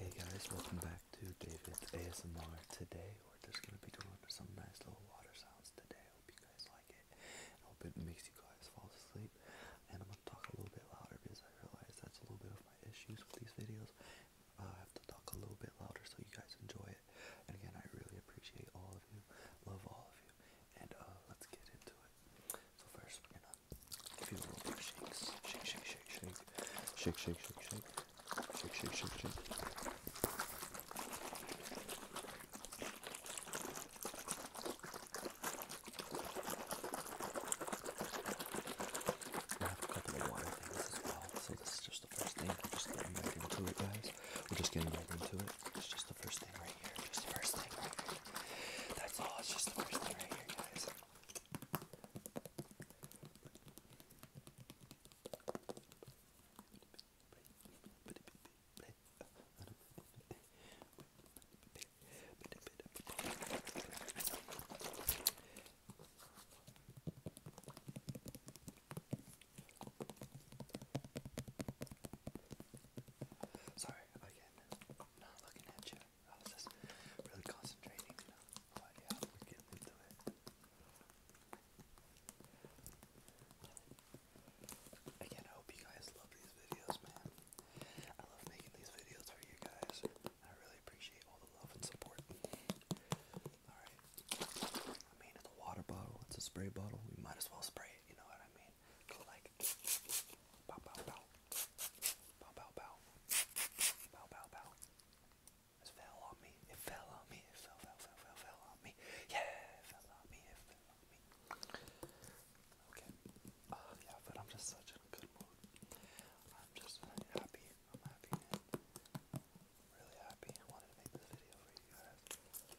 Hey guys, welcome back to David's ASMR. Today we're just gonna be doing some nice little water sounds today. I hope you guys like it. hope it makes you guys fall asleep. And I'm gonna talk a little bit louder because I realize that's a little bit of my issues with these videos. Uh, I have to talk a little bit louder so you guys enjoy it. And again, I really appreciate all of you. Love all of you. And uh, let's get into it. So first, we're gonna Give you a little bit of shakes. Shake, shake, shake, shake. Shake, shake, shake, shake. Shake, shake, shake, shake. I have a couple of water things as well, so this is just the first thing. We're just getting back into it, guys. We're just getting back into it. It's just the first thing right here. Just the first thing right here. That's all. It's just the first thing right here, guys. Sorry again, I'm not looking at you. I was Again, I hope you guys love these videos, man. I love making these videos for you guys. I really appreciate all the love and support. Alright. I mean, it's a water bottle, it's a spray bottle. We might as well spray it, you know what I mean? Go like. Bow, bow, bow. Bow, bow, bow. Bow, bow, bow. It fell on me. It fell on me. It fell, fell, fell, fell, fell on me. Yeah, it fell on me. It fell on me. Okay. Uh, yeah, but I'm just such a good mood. I'm just happy. I'm happy, Really happy. wanted to make this video for you guys.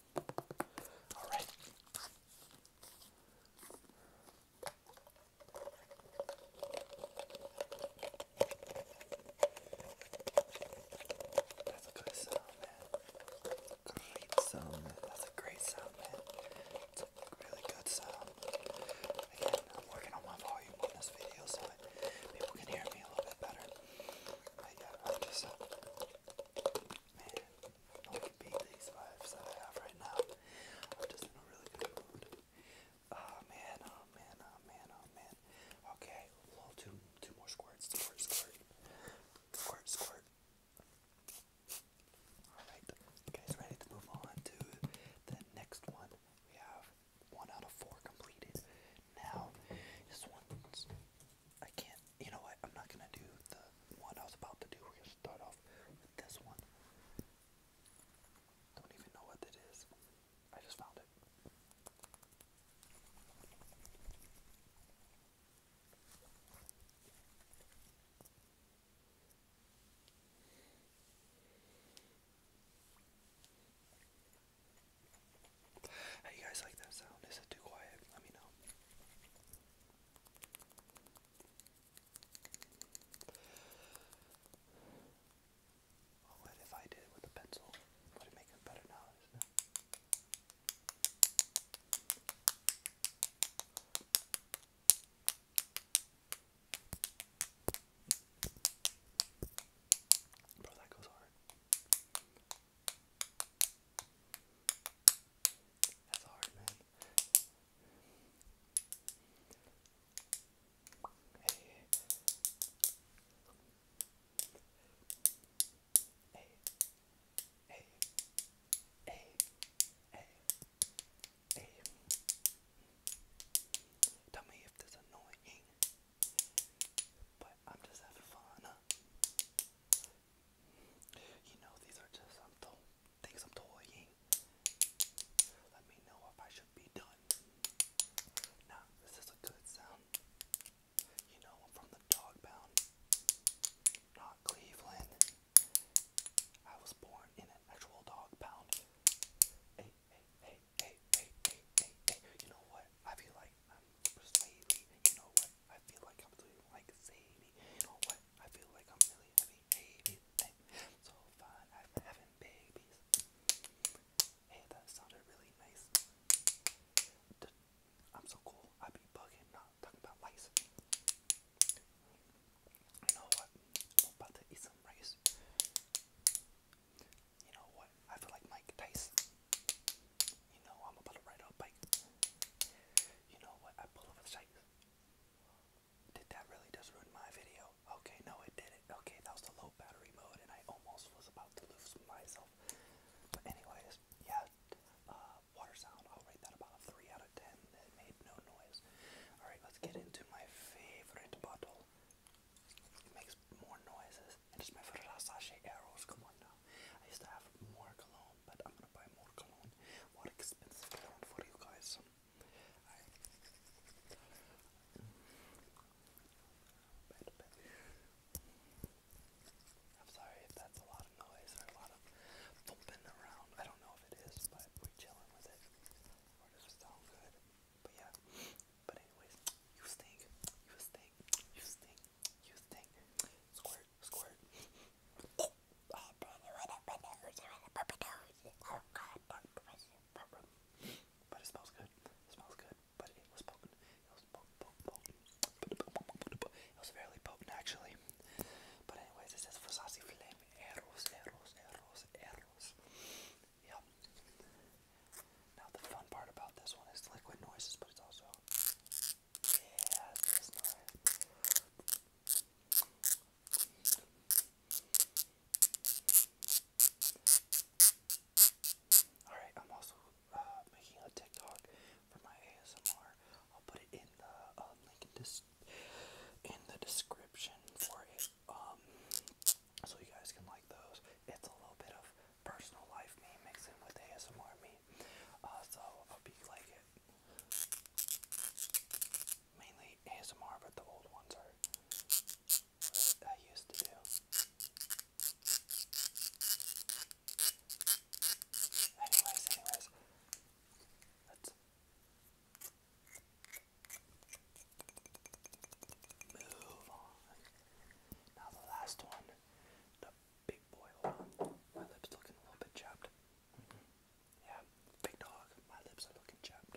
That's a good sound, man. Great sound, man. That's a great sound, man. It's a really good sound. Again, I'm working on my volume on this video so that people can hear me a little bit better. But yeah, I'm just, man, I can beat these vibes that I have right now. I'm just in a really good mood. Oh man, oh man, oh man, oh man. Okay, well, two, two more squirts, squirt, squirt, squirt, squirt. Alright, guys, ready to move on to the next one. We have one out of four completed. Now, this one's. I can't you know what? I'm not gonna do the one I was about to do. We're gonna start off with this one. Don't even know what it is. I just found it. How you guys like that sound? Is it too quiet? Let me know. Oh, what if I did it with a pencil? Would it make it better now, Bro, that goes hard. That's hard, Tell me if this annoying. But I'm just having fun. You know, these are just some things I'm toying. Let me know if I should be done. Nah, this is a good sound. You know, from the dog pound, not Cleveland. I was born in an actual dog pound. Hey, hey, hey, hey, hey, hey, hey, You know what? I feel like you know what? I feel like I'm doing like Sadie. You know what? I feel like I'm really having babies. so fun. I'm having babies. Hey, that sounded really nice. I'm so cool. I be bugging, not talking about rice. You know what? about to eat some rice. You know what? I feel like Mike Tyson. You know, I'm about to ride a bike. You know what? I pull over the site. Did that really just ruin my video? Okay, no, it didn't. Okay, that was the low battery mode, and I almost was about to lose myself. But anyways, yeah, uh, water sound. I'll rate that about a three out of ten. It made no noise. All right, let's get into my favorite bottle. makes more noises it's my first sachet arrows. Come on now. I used to have more cologne, but I'm gonna buy more cologne. More expensive cologne for you guys. I... am sorry if that's a lot of noise or a lot of thumping around. I don't know if it is, but we're chilling with it. Or does it sound good? But yeah, but anyways, you stink, you stink, you stink, you stink. Squirt, squirt. Ah, oh but it smells good. smells good. But it was potent. It was potent, potent, It was fairly potent actually. But anyways, this is for saucy flame. Yep. Now the fun part about this one is liquid noises, but it's also yeah, this noise. Alright, I'm also uh, making a TikTok for my ASMR. I'll put it in the um, link in, this, in the description for it, um, so you guys can like those. It's a little bit of personal life me mixing with ASMR me. Uh, so I hope you like it. Mainly ASMR, but the old ones are I used to do. Anyways, anyways, let's. Now the last one, the big boy. Hold on, my lips looking a little bit chapped. Mm-hmm. Yeah, big dog. My lips are looking chapped.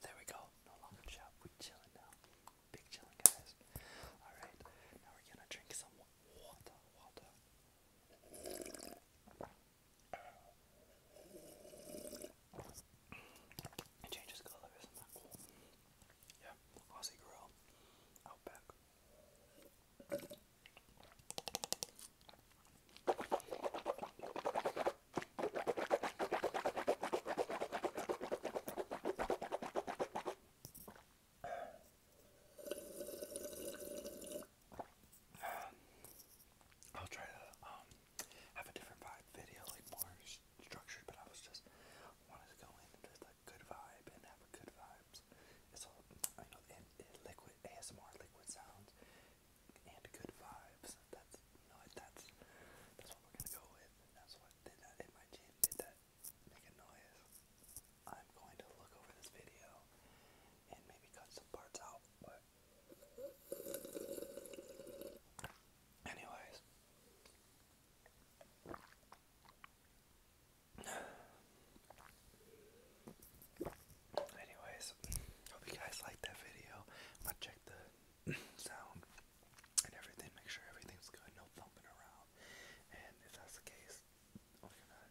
There we go. No longer chapped. we chilling now. Big chilling guys. All right, now we're gonna drink some water. Water. It changes color, isn't that cool? Yeah, Aussie Grill, Outback. I'll try to um have a different vibe video, like more structured, but I was just wanted to go in and just like good vibe and have a good vibes. It's all I know and, and liquid ASMR liquid sounds and good vibes. That's you know that's that's what we're gonna go with. And that's what did that in my chin did that make a noise. I'm going to look over this video and maybe cut some parts out, but Anyways. Anyways, hope you guys liked that video. I checked the sound and everything, make sure everything's good, no thumping around. And if that's the case, I'm gonna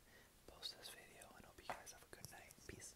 post this video and hope you guys have a good night. Peace.